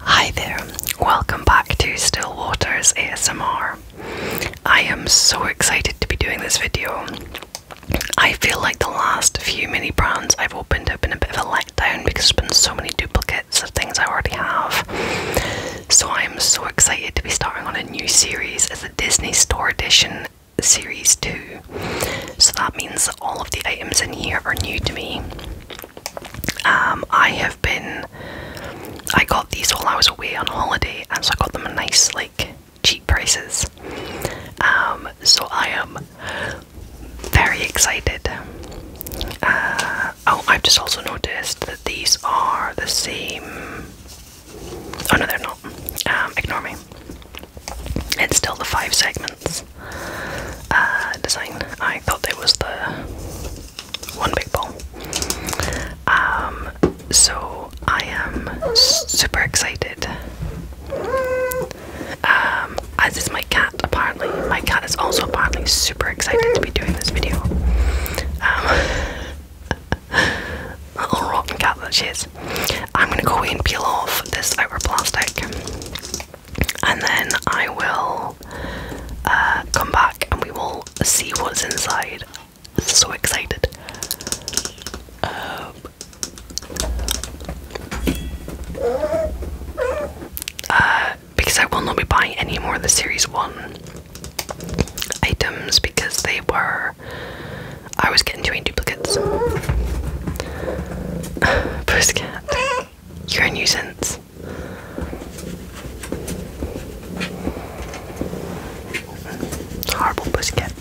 Hi there, welcome back to Still Waters ASMR. I am so excited to be doing this video. I feel like the last few mini brands I've opened have been a bit of a letdown because there's been so many duplicates of things I already have. So I am so excited to be starting on a new series as a Disney Store Edition Series 2. So that means all of the items in here are new to me. Um, I have been. I got these while I was away on holiday, and so I got them a nice, like, cheap prices. Um, so I am very excited. Uh, oh, I've just also noticed that these are the same. Oh no, they're not. Um, ignore me. It's still the five segments. Uh, design. I thought it was the one big ball. Um, so I am super excited. Um, as is my cat, apparently. My cat is also apparently super excited to be doing this video. Um, little rotten cat that she is. I'm gonna go away peel off this outer plastic and then I will uh, come back and we will see what's inside. So excited. Um, uh, because I will not be buying any more of the Series 1 items because they were. I was getting too many duplicates. Bruce cat. You're a nuisance. Horrible biscuit.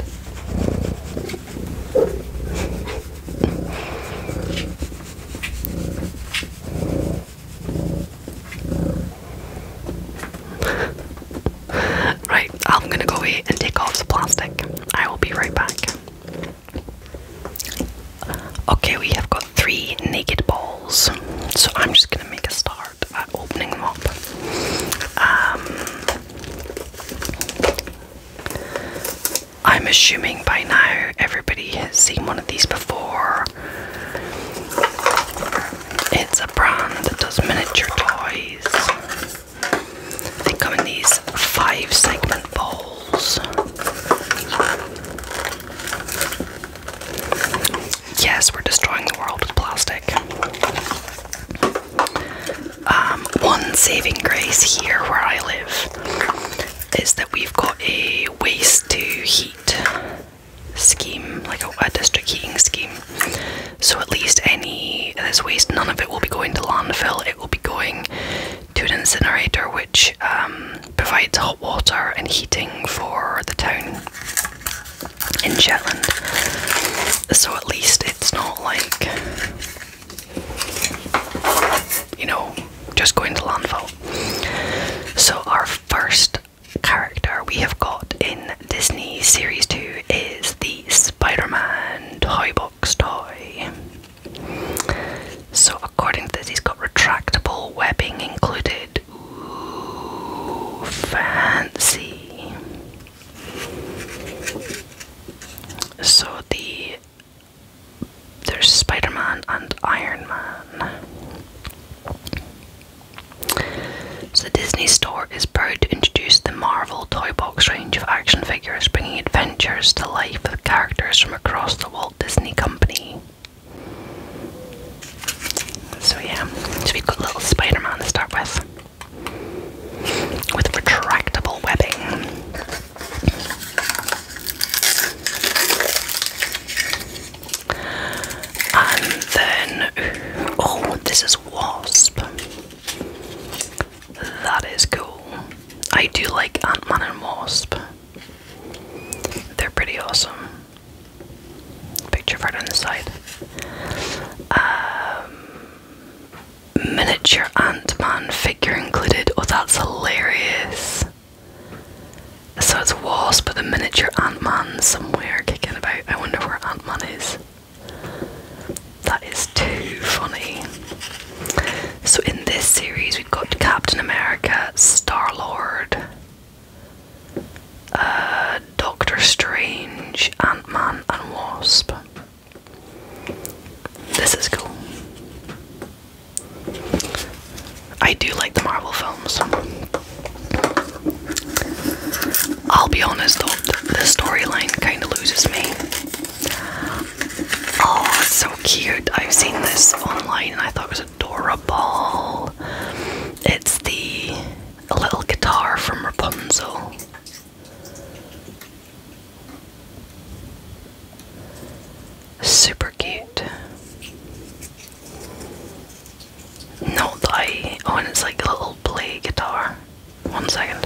right, I'm gonna go away and take off the plastic. I will be right back. Okay, we have got three naked balls, so I'm just gonna make a start at opening them up. Um, I'm assuming by now everybody has seen one of these before. It's a brand that does miniature toys. They come in these five segment balls. Yes, we're destroying the world with plastic. Um, one saving grace here where I live is that we've got a waste to heat scheme, like a, a district heating scheme. So at least any of this waste, none of it will be going to landfill, it will be going to an incinerator which um, provides hot water and heating for the town in Shetland. So at least it's not like, you know, just going to landfill. So our first character we have got in Disney Series 2 is the Spider Man toy boy toy. So, according to this, he's got retractable webbing included. fancy. So the there's Spider-Man and Iron Man. So Disney Store is proud to introduce the Marvel Toy Box range of action figures, bringing adventures to life with characters from across the world. Disney Company. So yeah, so we've got little Spider-Man to start with, with retractable webbing. And then, oh, this is Wasp. That is cool. I do like Ant-Man and Wasp. They're pretty awesome. Picture right on the side. Um, miniature Ant Man figure included. Oh, that's hilarious. So it's Wasp with a miniature Ant Man somewhere kicking about. I wonder where Ant Man is. That is too funny. So in this series, we've got Captain America, Star Lord, uh, Doctor Strange, Ant Man, and Wasp. This is cool. I do like the Marvel films. I'll be honest though, the storyline kind of loses me. Oh, so cute. I've seen this online and I thought it was adorable. It's the little guitar from Rapunzel. Super cute. No, I. Oh, and it's like a little play guitar. One second.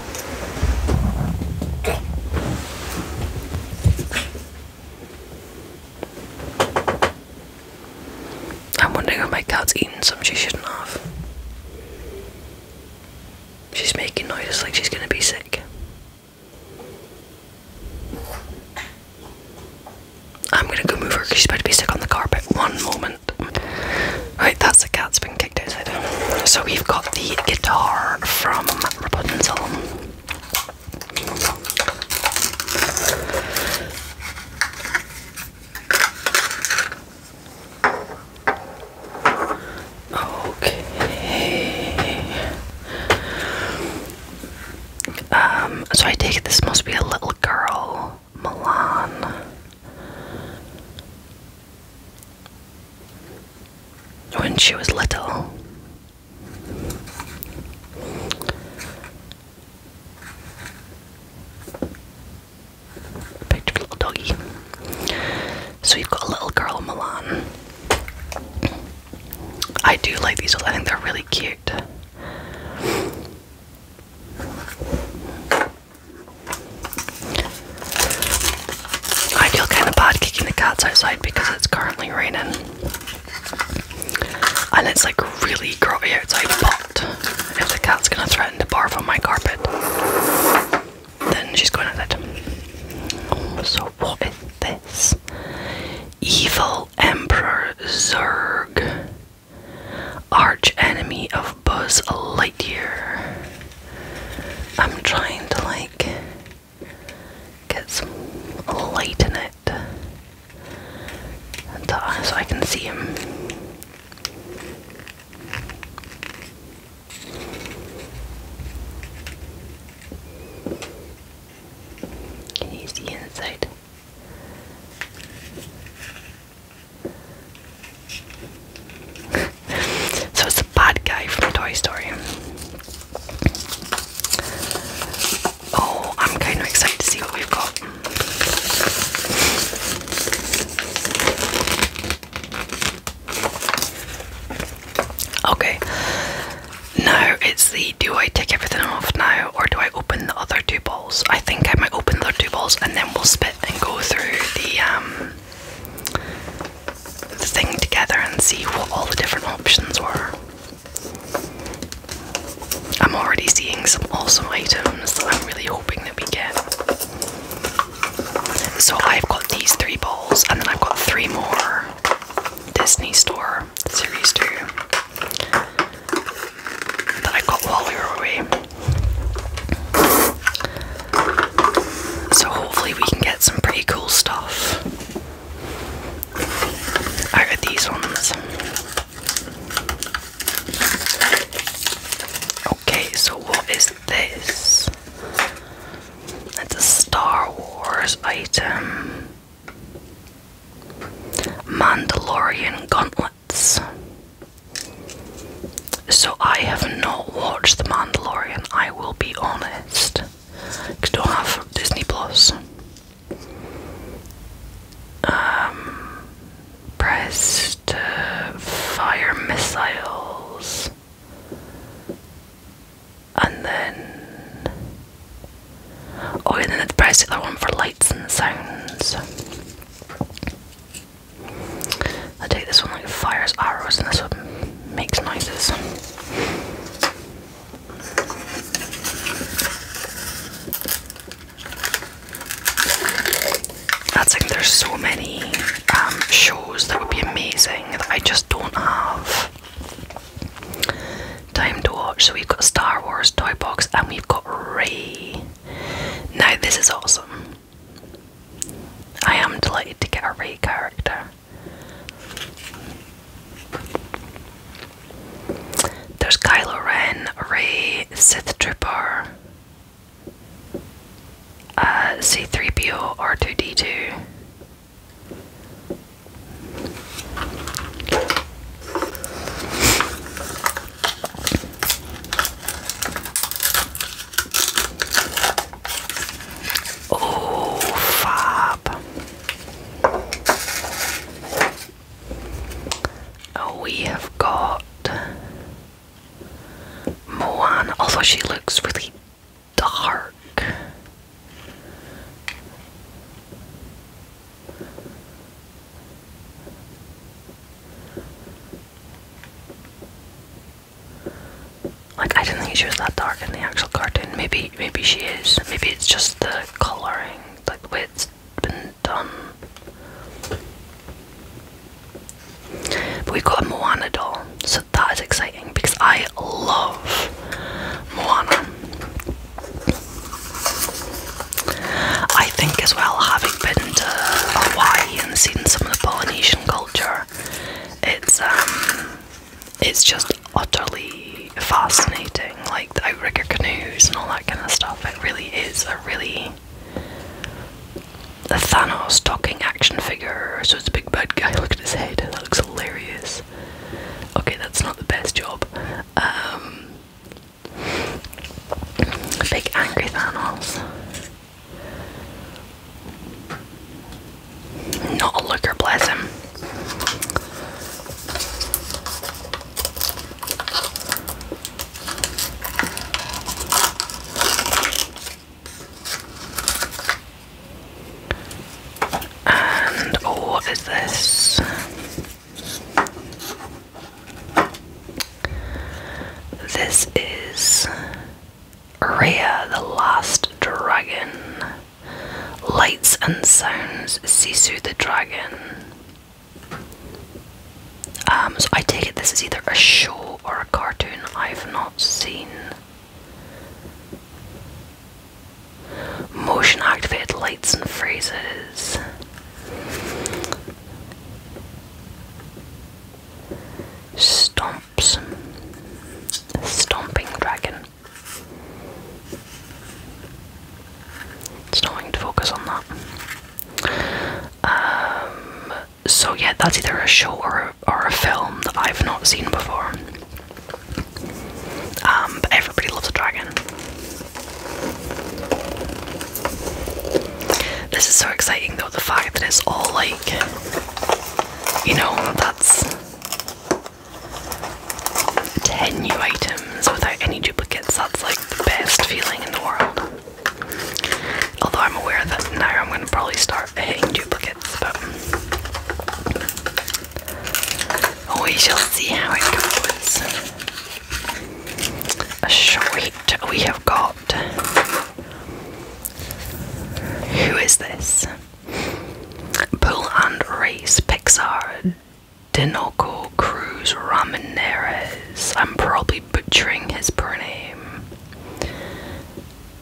I'm wondering if my cat's eating some she shouldn't have. She's making noises like she's gonna be sick. I'm gonna go move her because she's about to be sick on the carpet. One moment. Right, that's the cat's been kicked outside. So we've got the guitar from Rapunzel. Okay. Um, so I take it this must be a little girl, Milan. When she was little. Picture little doggy. So we have got a little girl Milan. I do like these ones, I think they're really cute. I feel kind of bad kicking the cats outside because it's currently raining. And it's like really grotty outside, but if the cat's gonna threaten to barf on my carpet, then she's going at it. so, what is this? Evil Emperor Zurg, arch enemy of Buzz Lightyear. I'm trying to like get some light in it uh, so I can see him. Can you see inside? so it's the bad guy from Toy Story. Oh, I'm kind of excited to see what we've got. Okay, now it's the do I take everything off now or do I open the other two balls? I think I might open the other two balls and then we'll spit and go through the um, the thing together and see what all the different options were. I'm already seeing some awesome items that I'm really hoping that we get. So I've got these three balls, and then I've got three more Disney Store Series 2 that I got while we were away. So hopefully we can get some pretty cool stuff. I got these ones. Okay, so what is this? It's a Star Wars item. Mandalorian gauntlets. So I have not watched The Mandalorian, I will be honest. Ik don't have Disney Plus. Ehm, press to eh, fire missiles, and then oh, and then press the other one for lights and sounds. I take this one like fires arrows, and this one makes noises. That's like there's so many um, shows that would be amazing that I just don't have time to watch. So we've got Star Wars Toy Box and we've got Ray. Now, this is awesome. I am delighted to get a Ray character. There's Kylo Ren, Ray, Sith Trooper, uh, C3PO, R2D2. Oh, fab. Oh, we have got Moana, although she looks really dark. Like I didn't think she was that dark in the actual cartoon. Maybe maybe she is. Maybe it's just the colouring, like the way it's been done. we've got a Moana doll, so that is exciting because I love Moana. I think as well, having been to Hawaii and seen some of the Polynesian culture, it's um it's just utterly fascinating, like the outrigger canoes and all that kind of stuff. It really is a really a Thanos talking action figure. So it's a big bad guy. Look at his head. That looks hilarious. Okay, that's not the best job. Um, big angry Thanos. Not a liquor blessing. And oh, what is this? This is Rhea the Last Dragon. Lights and sounds, Sisu the dragon. Um, so I take it this is either a show or a cartoon I've not seen. Motion activated lights and phrases. Stomps. Stomping dragon. It's not wanting to focus on that. Um, so yeah, that's either a show or a, or a film that I've not seen before. Um, but everybody loves a dragon. This is so exciting though, the fact that it's all like, you know, that's 10 new items without any duplicates, that's like the best feeling in the world. Although I'm aware that now I'm going to probably start hitting duplicates, but we shall see how it goes. A short we have got. Who is this? Pool and Race, Pixar, Dinoco Cruz Ramirez. I'm probably butchering his proname.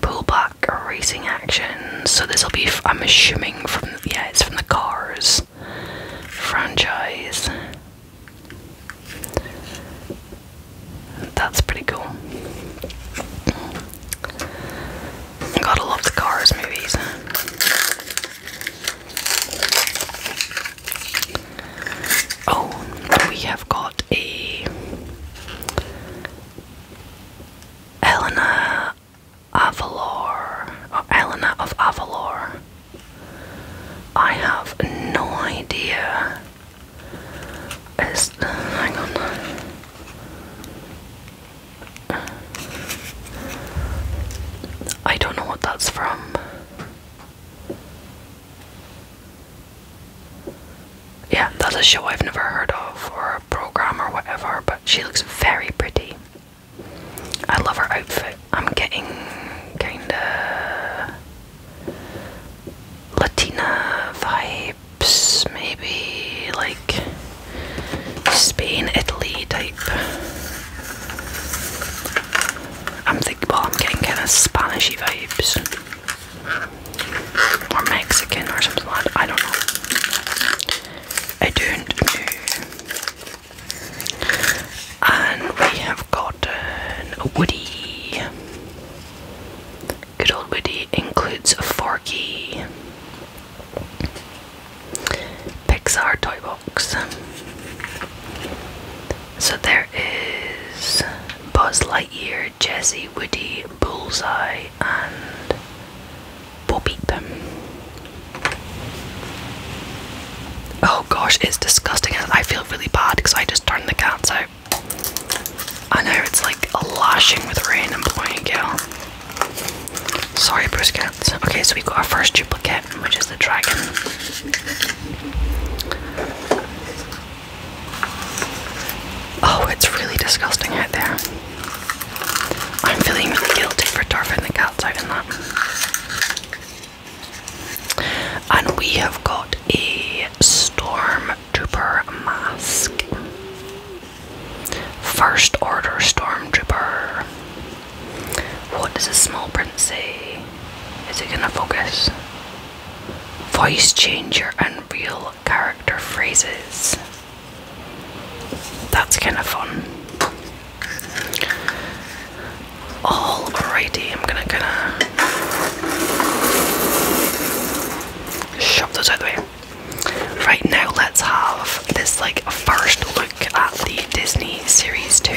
Pullback Racing Action. So this will be, I'm assuming, from yeah, it's from the Cars franchise. That's pretty cool. Gotta love the Cars movies. Oh, we have got a Elena Avalor, or of Avalor. I have no idea. Is hang on. I don't know what that's from. Yeah, that's a show I've never heard of, or a program, or whatever, but she looks very pretty. I love her outfit. I'm getting kinda Latina vibes, maybe, like. Spain, Italy type. I'm thinking, well, I'm getting kind of Spanish vibes, or Mexican, or something like I don't know. I don't know. And we have gotten a Woody. Good old Woody includes a Forky. Pixar Toy Box. So there is Buzz Lightyear, Jessie, Woody, Bullseye, and Bo Peep. Oh gosh, it's disgusting. I feel really bad because I just turned the cats out. I know it's like a lashing with rain and blowing a Sorry, Bruskets. Okay, so we've got our first duplicate, which is the dragon. Oh, it's really disgusting out there. I'm feeling really guilty for turfing the cats out in that. And we have got a stormtrooper mask. First Order Stormtrooper. What does the small print say? Is it gonna focus? Voice changer and real character phrases. That's kind of fun. Alrighty, I'm gonna kinda shove those out the way. Right now, let's have this like first look at the Disney series 2.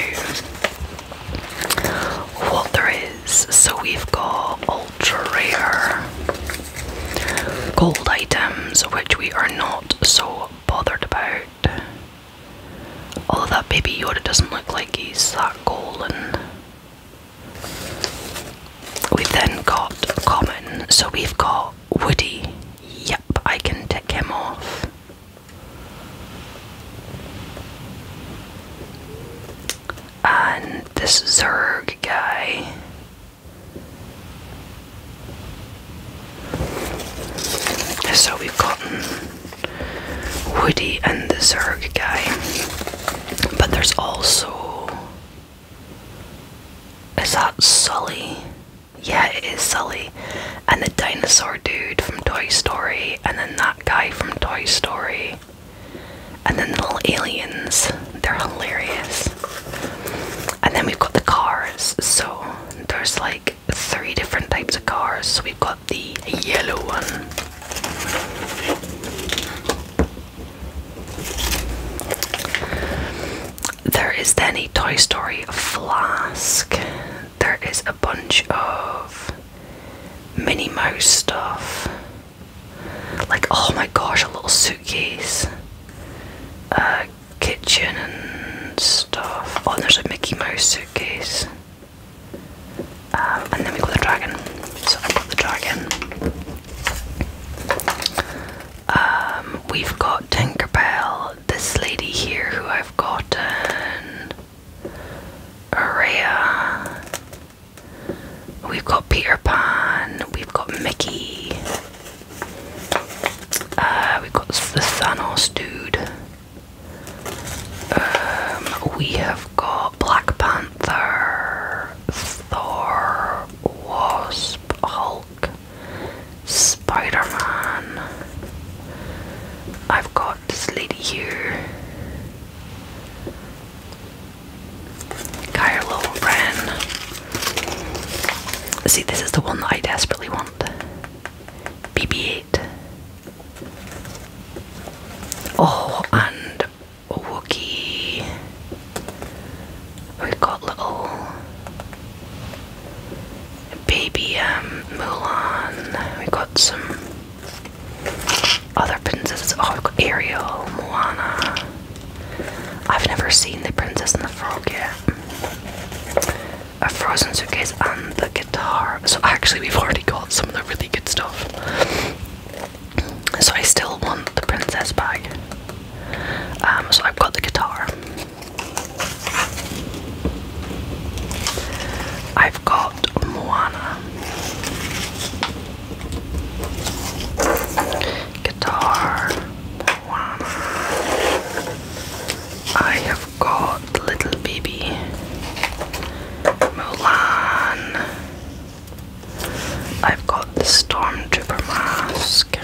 What there is. So we've got ultra rare gold items, which we are not so bothered about. Although that baby Yoda doesn't look like he's that golden. We've then got common, so we've got Woody, Yep, I can tick him off. And this Zerg guy. So we've got Woody and the Zerg guy. But there's also. Is that Sully? Yeah, it is Sully. And the dinosaur dude from Toy Story, and then that guy from Toy Story. And then the little aliens. They're hilarious. And then we've got the cars. So there's like three different types of cars. we've got the yellow one. There is then a Toy Story flask. There is a bunch of Minnie Mouse stuff. Like, oh my gosh, a little suitcase. Uh, kitchen and stuff. Oh, there's a Mickey Mouse suitcase. Um, and then we got the dragon. So i got the dragon. Um, we've got Tinkerbell, this lady here who I've gotten, Araya, we've got Peter Pan, we've got Mickey, uh, we've got the sun Thanos dude, um, we have got Black Panther, Thor, Wasp, Hulk. Spider Man. I've got this lady here. Got her See, this is the one that I desperately want. BB 8. Oh, and Wookie. We've got little baby um, Mulan. We've got some other princesses. Oh, Ariel, Moana. I've never seen the Princess and the Frog yet. A Frozen Suitcase and the guitar. So actually, we've already got some of the really good stuff. So I still want the princess bag. Um, so I've got the guitar. I've got Moana guitar. Moana. I have got Little Baby Mulan. I've got the Stormtrooper mask.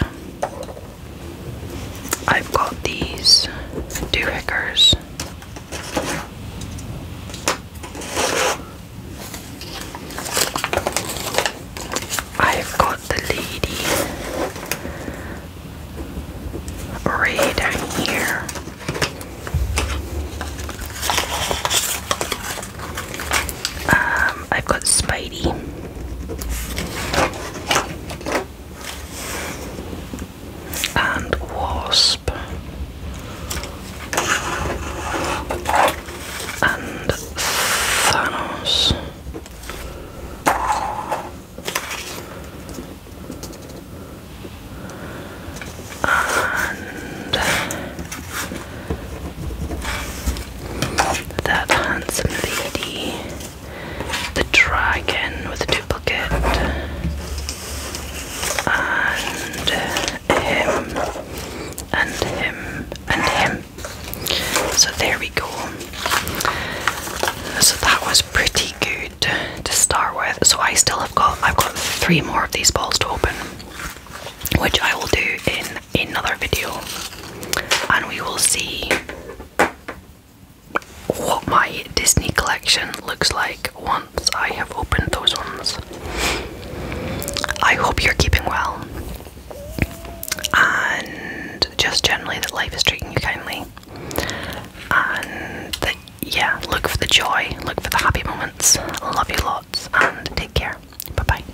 I've got these two hikers. I've got the lady right down here. Um, I've got Spidey and wasp and Thanos. And that handsome lady the dragon with a duplicate, and him, and him, and him. So there we go. So that was pretty good to start with. So I still have got I've got three more of these balls to open, which I will do in another video, and we will see what my Disney collection looks like once I have opened those ones. I hope you're keeping well and just generally that life is treating you kindly and yeah, look for the joy, look for the happy moments. Love you lots and take care. Bye bye.